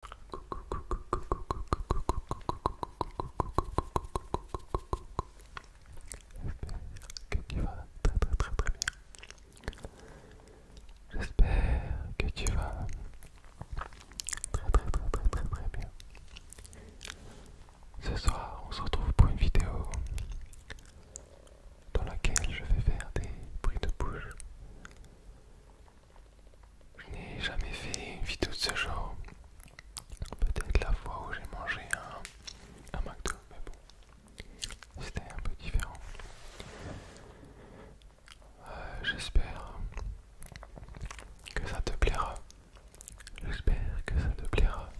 J'espère que tu vas très très très très bien. J'espère que tu vas très très très très très très bien. Ce soir, on se retrouve pour une vidéo dans laquelle je vais faire des bruits de bouche je n'ai jamais fait une vidéo de ce genre. Peut-être la fois où j'ai mangé un, McDo, mais bon, c'était un peu différent. Euh, j'espère que ça te plaira. J'espère que ça te plaira.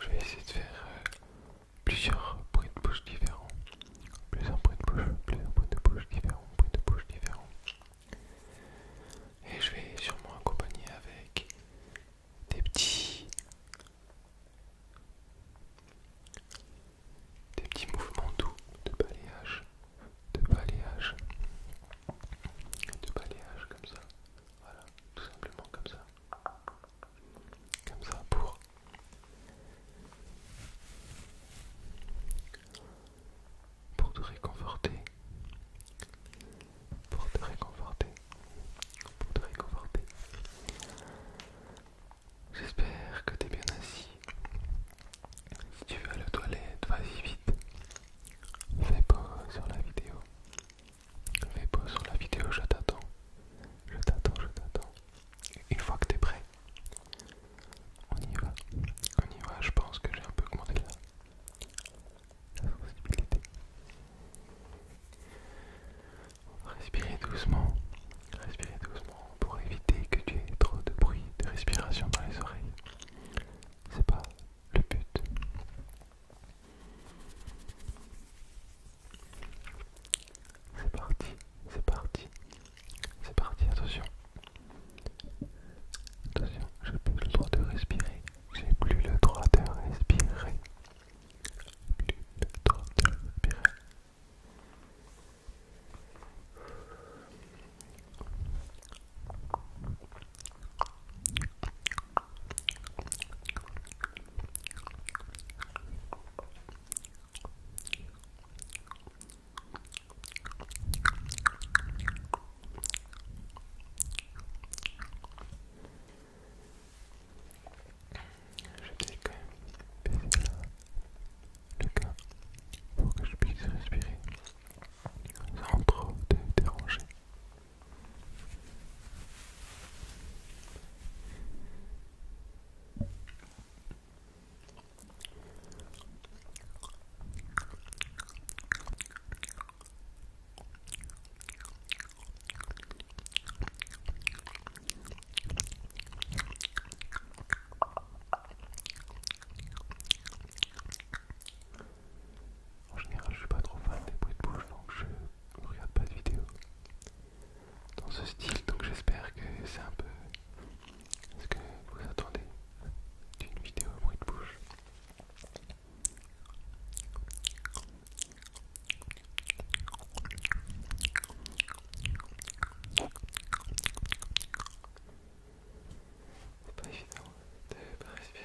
Je vais essayer de faire euh, plusieurs bruits de bouche différents. Plusieurs bruits de bouche, plusieurs bruits de bouche différents, bruits de bouche différents. Et je vais sûrement accompagner avec des petits des petits mouvements doux de balayage, de balayage, de balayage comme ça, voilà, tout simplement comme ça, comme ça pour pour te réconforter, pour te réconforter, pour te réconforter. J'espère que tu t'es bien assis. Si tu veux aller la toilette, vas-y vite. Fais pas sur la vidéo. Fais pas sur la vidéo, je t'attends. Je t'attends, je t'attends. Une fois que tu es prêt, on y va, on y va, je pense que j'ai un peu commandé la, la sensibilité. Respirez doucement, Respirez doucement pour éviter que tu aies trop de bruit de respiration dans les oreilles. C'est pas le but. C'est parti, c'est parti. C'est parti, attention. Attention, j'ai plus le droit de respirer. J'ai plus le droit de respirer. Plus le droit de respirer. Je vais quand même baisser le cas pour que je puisse respirer sans trop te déranger. En général, je suis pas trop fan des bruits de bouche donc je regarde pas de vidéo dans ce style donc j'espère que c'est un peu ce que vous attendez d'une vidéo bruit de bouche. C'est pas évident de pas respirer.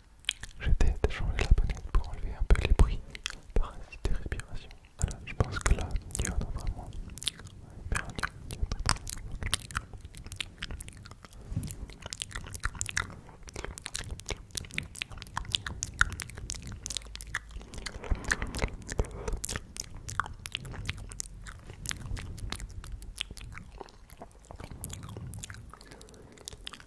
J'étais changé la bonnette pour enlever un peu les bruits, site et respirations. Voilà, je pense que là, tu y en vraiment.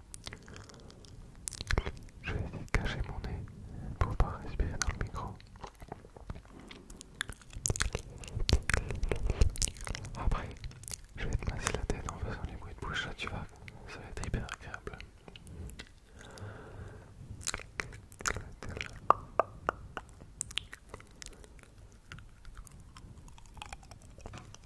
Je vais essayer de cacher mon nez pour pas respirer dans le micro. Après, je vais te masser la tête en faisant les bruits de bouche, tu vas, ça va être hyper agréable.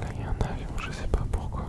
Là, il y a un avion, je sais pas pourquoi.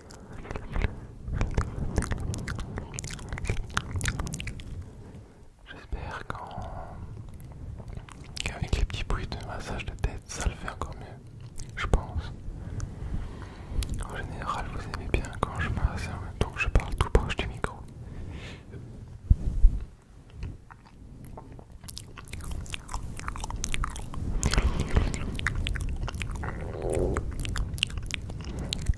J'espère qu'avec les petits bruits de massage de tête, ça le fait encore mieux. Je pense. En général, vous aimez bien quand je masse en hein, je parle tout proche du micro.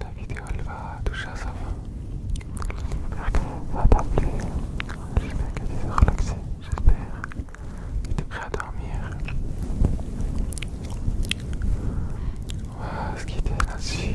La vidéo elle va toucher à sa fin. va t'appeler J'espère qu'elle tu es relaxé. J'espère T'es prêt à dormir On ce qui était là-dessus.